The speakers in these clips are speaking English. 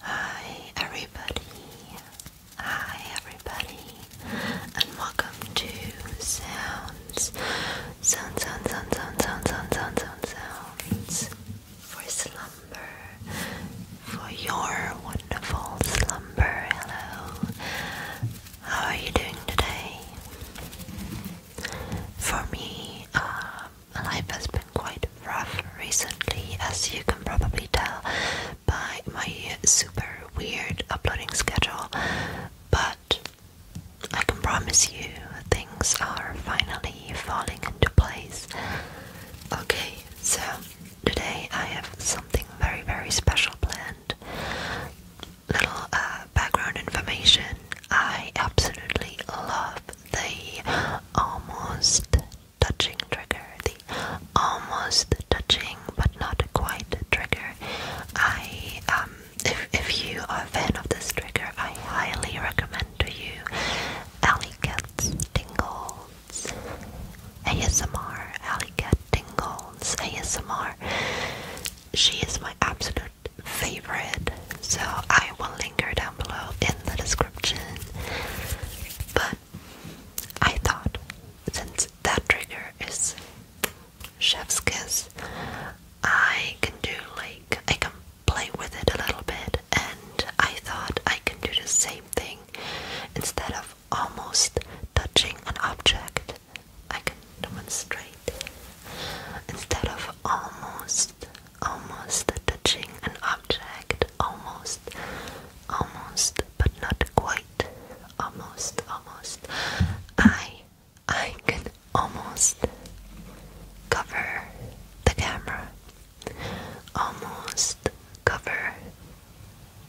Hi everybody, hi everybody, and welcome to Sounds, Sounds, Sounds, Sounds, Sounds, Sounds, Sounds, Sounds, for slumber, for your wonderful slumber. Hello, how are you doing today? For me, um, life has been quite rough recently, as you can probably tell by my super weird uploading schedule. But I can promise you things are finally falling into place. Okay, so today I have something very, very special planned. Little uh, background information I absolutely love the almost touching trigger, the almost touching but not quite trigger. I um, if if you are a fan of this trigger, I highly recommend to you Alley Cat's Tingles ASMR. Alley Cat Tingles ASMR. She is my absolute favorite, so I will link her down below in the description. But I thought, since that trigger is chef's kiss, I can do like, I can play with it a little bit, and I thought I can do the same thing instead of almost touching an object. I can demonstrate instead of almost almost touching an object, almost, almost, but not quite, almost, almost. I, I can almost cover the camera, almost cover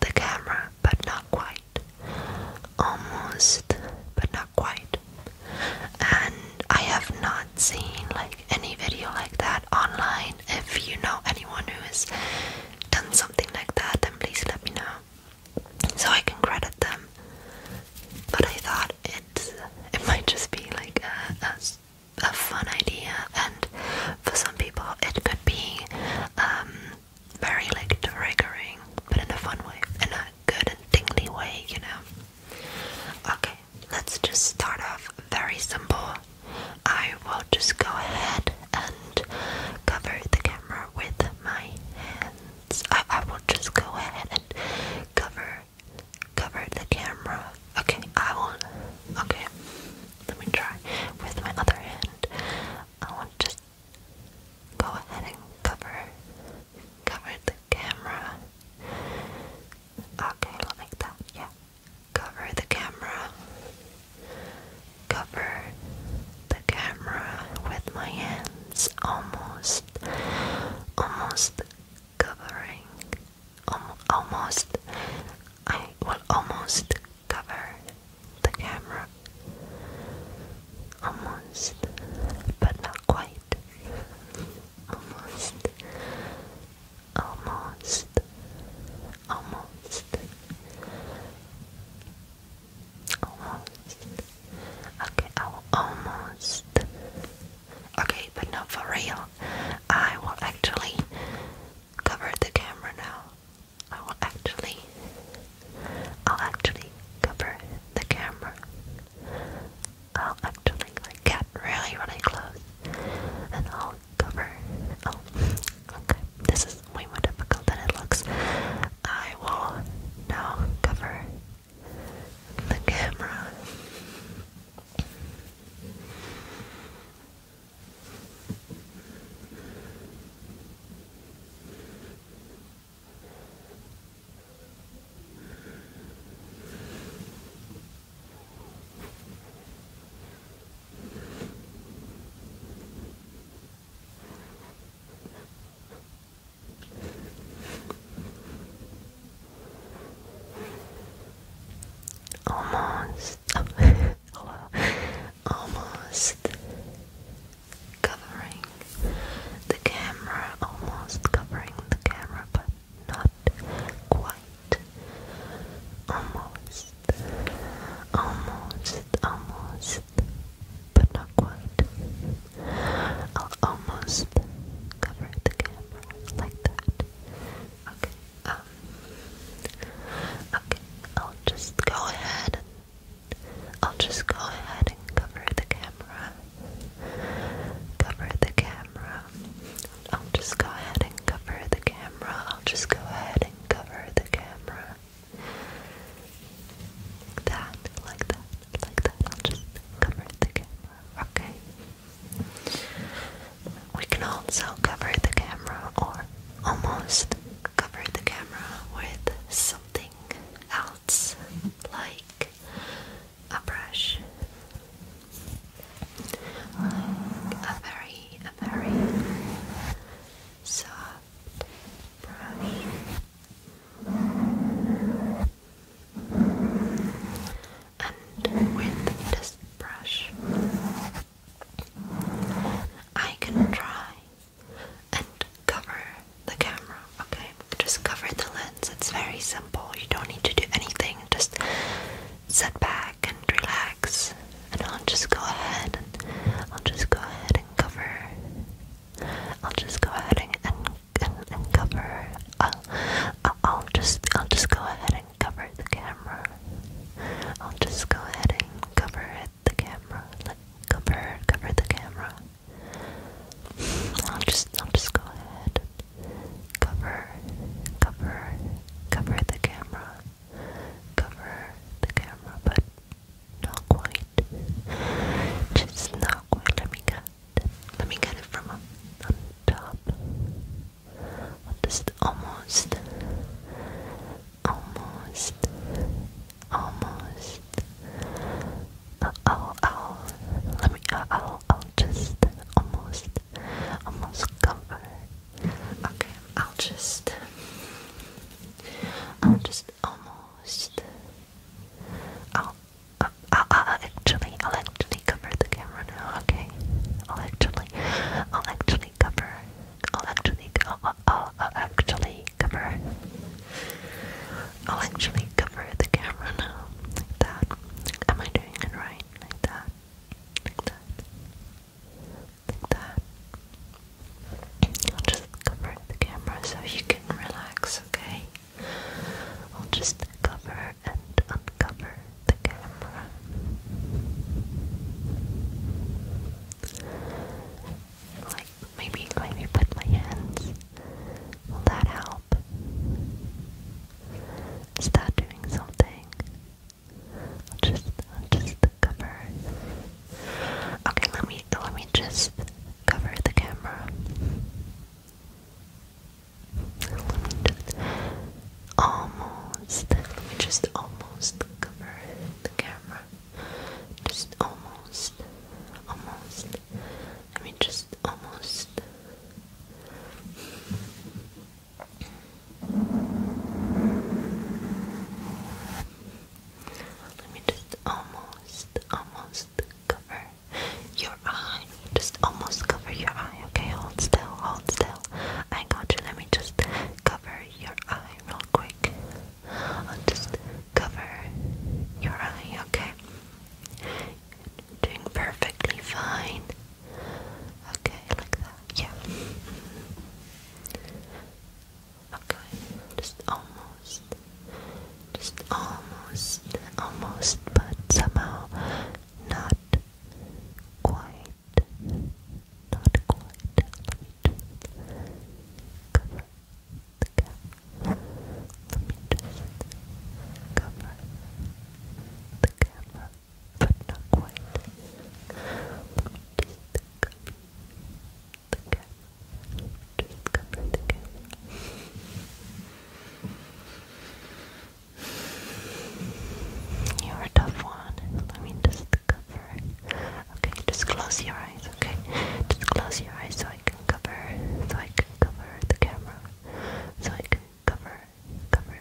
the camera, but not quite, almost, but not quite. And I have not seen like any video like that online. If you know anyone who has done something like that, then please let me know so I can credit them. But I thought it's it might just be like a, a, fun idea, and for some people it could be um, very like triggering, but in a fun way, in a good and tingly way, you know. Okay, let's just start off very simple. I will just go ahead and cover the camera with my hands. I, will just go ahead and cover cover the camera. Okay, I will okay. Let me try with my other hand. I will just go ahead and cover cover the camera. Okay, like that, yeah. Cover the camera. Cover the camera with my hands, almost, almost covering, um, almost. I will almost cover the camera. Almost, but not quite almost, almost, almost, almost. Okay, I will almost. Okay, but not for real. I will actually cover the camera now. I will actually, I'll actually cover the camera. I'll actually like get really, really close and I'll cover. Oh, okay. This is way more difficult than it looks. I will now cover the camera. Almost, hello, almost covering the camera, almost covering the camera, but not quite, almost, almost, almost, but not quite. I'll almost cover the camera like that. Okay, um, okay, I'll just go ahead I'll just go ahead and cover the camera cover the camera. I'll just go ahead and cover the camera. I'll just go ahead and cover the camera. that, like that, like that. I'll just cover the camera. Okay. We can also cover the camera or almost cover the camera with something else, like a brush, a very, a very soft brush. And with this brush, I can try and cover the camera, okay? just cover the lens. It's very simple. You don't need to do anything. Just sit back and relax. And I'll just go ahead and I'll just go ahead and cover. I'll just go ahead and and, and, cover. I'll, uh, uh, I'll just I'll just go ahead and cover the camera. I'll just go ahead and cover the camera. Like, cover cover the camera. I'll just I'll just go ahead Cover, cover, cover the camera. Cover the camera, but not quite. Just not quite. Let me get it. Let me get it from on, on top. Just almost, almost, almost, I'll, I'll, let me, I'll, I'll just almost, almost cover. Okay, I'll just, I'll just almost, I'll, I'll, I'll, actually, I'll actually cover the camera okay? I'll actually, I'll actually cover, I'll actually, I'll, I'll, I'll actually cover. I'll actually cover the camera now, like that. Am I doing it right? Like that, like that, like that. I'll just cover the camera so you can relax, okay? I'll just cover and uncover the camera. Like maybe maybe put my hands. Will that help? Start doing something. I'll just, I'll just cover. Okay, let me, let me just cover the camera. Let me just almost. Let me just almost cover the camera. Just almost, almost. Let me just almost. Let me just almost, almost cover your eye. Just almost cover your eye, okay? Hold still, hold still. I got you. Let me just cover your eye real quick. just cover your eye, okay? Doing perfectly fine. Okay, like that. Yeah. Okay, just almost. Just almost. Almost, but somehow not quite. Not quite. Let me just cover the gap let me just cover the camera, but not quite. just cover the camera. Just cover the camera. You're a tough one. Let me just cover. Okay, just close your eyes. Okay, just close your eyes so I can cover. So I can cover the camera so I can cover, cover,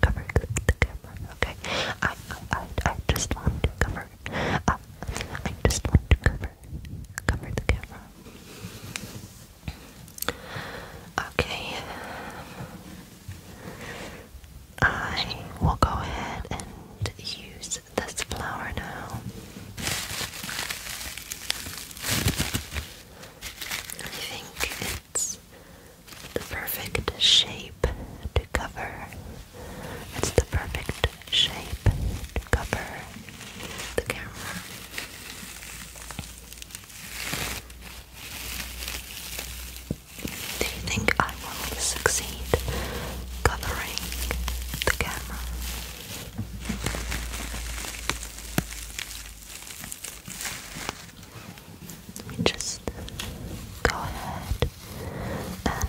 cover the camera. Okay, I, I, I just want to cover. Uh, I just want to cover, cover the camera. Okay. I will go ahead and use this flower now. I think it's the perfect shape to cover. It's the perfect shape to cover the camera. Do you think I will succeed covering the camera? Let me just go ahead and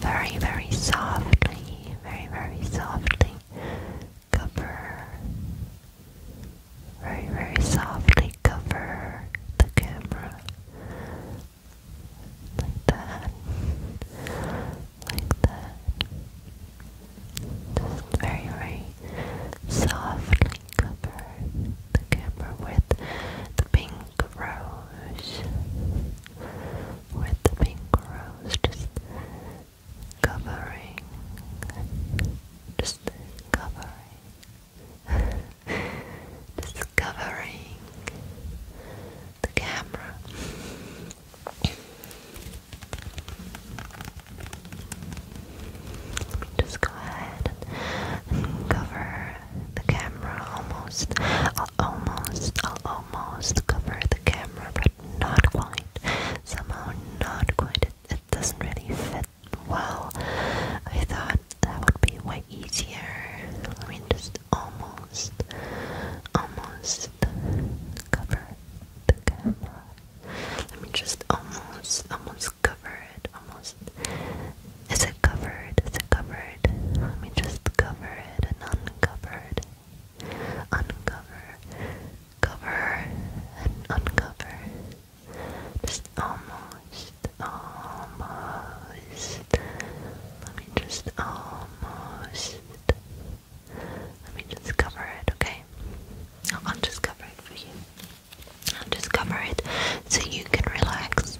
very, very softly, very, very softly cover, very, very softly cover the camera like that, like that. Just very, very softly cover the camera with the pink rose. With the pink rose, just covering, just covering, just covering the camera. Just go ahead and cover the camera almost. almost, almost cover the camera, but not quite. Somehow, not quite. It, it doesn't really fit well. I thought that would be way easier. I mean, just almost, almost cover the camera. Let me just almost, almost cover it. Almost. Is it covered? Is it covered? Let me just cover it and uncover it. Uncover. Cover and uncover. Just almost, almost. Let me just almost. Let me just cover it, okay? I'll just cover it for you. I'll just cover it so you can relax.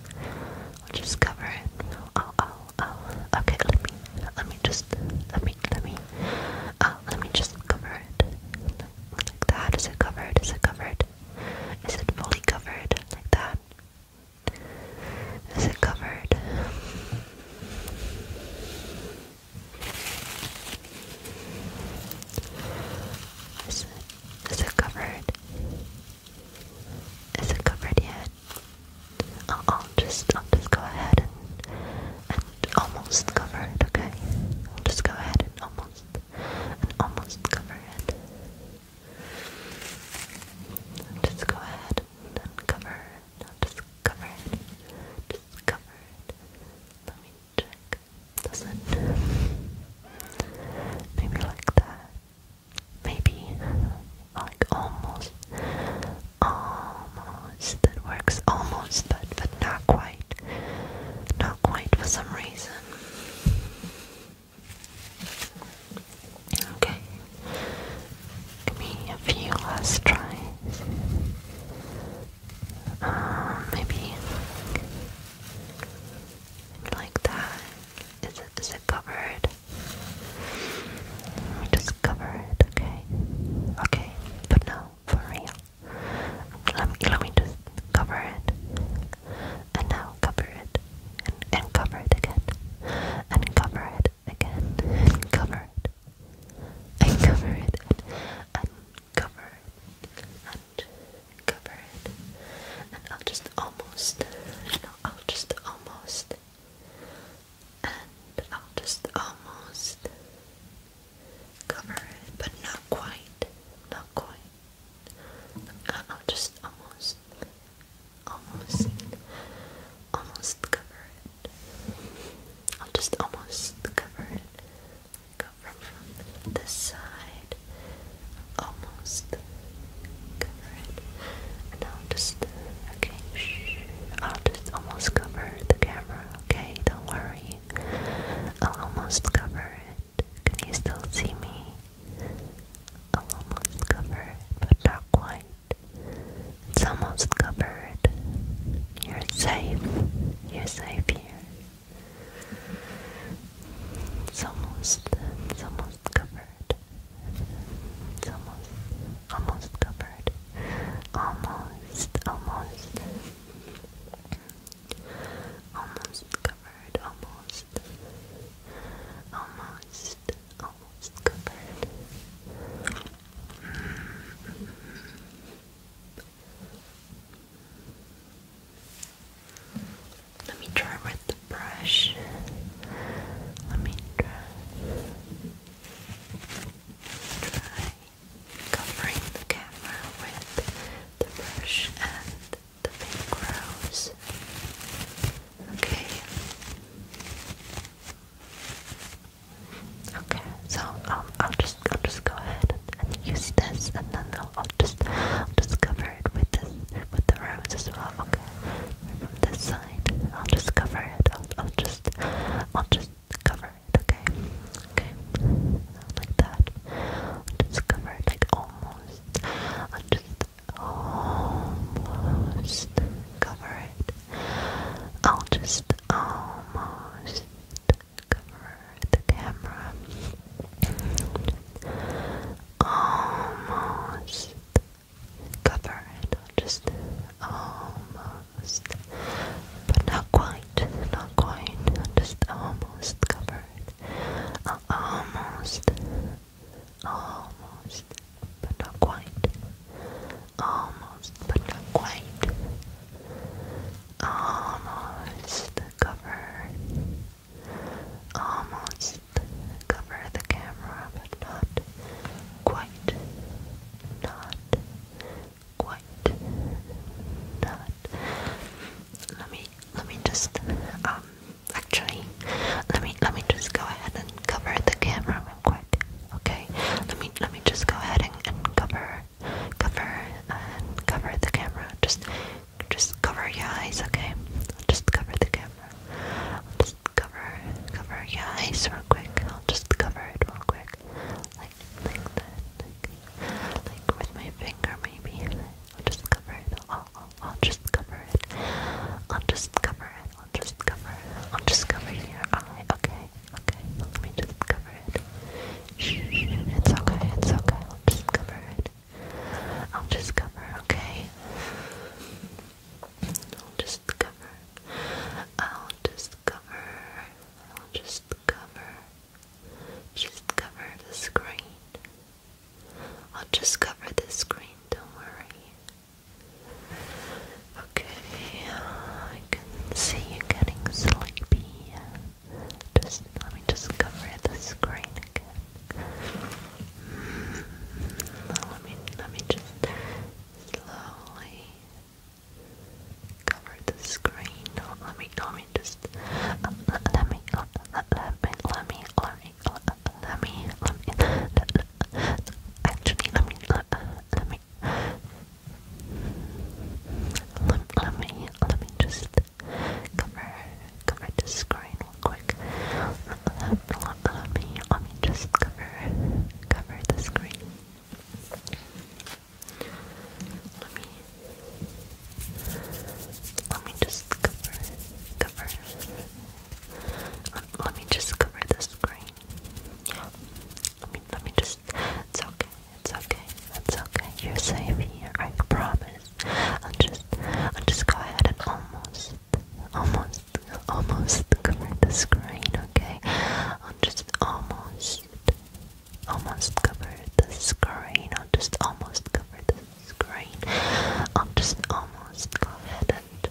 I'll just cover it. Oh, oh, oh. Okay, let me, let me just, let me, let me, oh, let me just cover it. Like that. Is it covered? Is it covered? Is it fully covered? Like that? Is it covered? Is it covered? Is it covered yet? I'll, just just go ahead and and almost cover it, okay? just go ahead and almost almost cover it. just go ahead and cover no, discovered. Discovered. Let me check. Doesn't. Maybe like that. Maybe. Like almost. Almost. That works almost, but, but not quite. Not quite for some reason. Okay, Give me a few last tries. Um, maybe like, like that. Is it is it covered? Let me just cover it, okay? Okay, but no, for real. Let me let me just cover it. And now cover it. And, and cover it again. And cover it again. And cover it Uncover it and uncover it and cover it. And I'll just almost, I'll just almost, and I'll just almost cover it, but not quite, not quite. I'll just almost, almost, almost cover it. I'll just almost cover it. Go from, this side, almost cover it. And I'll just, okay, I'll just almost cover the camera, okay? Don't worry. I'll almost cover it. Can you still see me? I'll almost cover it, but not it's almost covered. You're safe. You're safe here. It's almost, it's almost covered. It's almost, almost covered. Almost, almost. Almost covered, almost. Almost, almost covered. Let me try with the brush. Let me try. covering the camera with the brush and the pink rose. Okay. Okay, so um, I'll just I'll just go ahead and, use this, and then I'll, just i just cover it with this with the rose as well. Okay, from this side, I'll just cover it. I'll, I'll just I'll just cover it. Okay, okay, like that. just cover it like almost. I'll just almost cover it. I'll just almost cover the camera. Almost cover it. I'll just almost, but not quite, not quite. I'll just almost cover it. almost, almost but not quite. Almost, but not quite. Almost cover. Almost cover the camera, but not quite. Not quite. Not. Let me. Let me just. Um. Actually, let me. Let me just go ahead and cover the camera Okay, let me let me just go ahead and, cover, cover, and cover the camera. Just, just cover your eyes. Okay, I'll just cover the camera. I'll just cover, cover your eyes real quick. I'll just cover it real quick, like like that, like, with my finger maybe. I'll just cover it. I'll, I'll just cover it. I'll just cover it. I'll just cover I'll just cover your eye. Okay, okay. Let me just cover it. It's okay, it's okay. I'll just cover it. I'll just cover, okay? I'll just cover. I'll just cover. I'll just cover. Just cover the screen. I'll just cover the screen, don't worry. Okay, I can see you getting sleepy. Just let me just cover the screen again. let me let me just slowly cover the screen. let me let me just let me let me let me let me let me let Actually, I mean, let, uh, let me let, me let me just cover cover the screen real quick. Let, me let me just cover cover the screen. Let me let me just cover cover. let me just cover the screen. Yeah. Let me let me just it's okay, it's okay, it's okay. You're safe here, I promise. I'll just I'll just go ahead and almost almost almost cover the screen, okay? I'll just almost almost cover the screen. I'll just almost cover the screen. I'll just almost go ahead and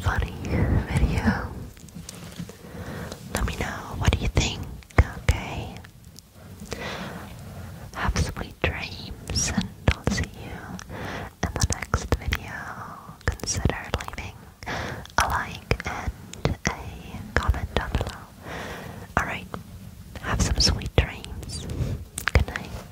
funny video. Let me know what you think, okay? Have sweet dreams and I'll see you in the next video. Consider leaving a like and a comment down below. Alright, have some sweet dreams. Good night.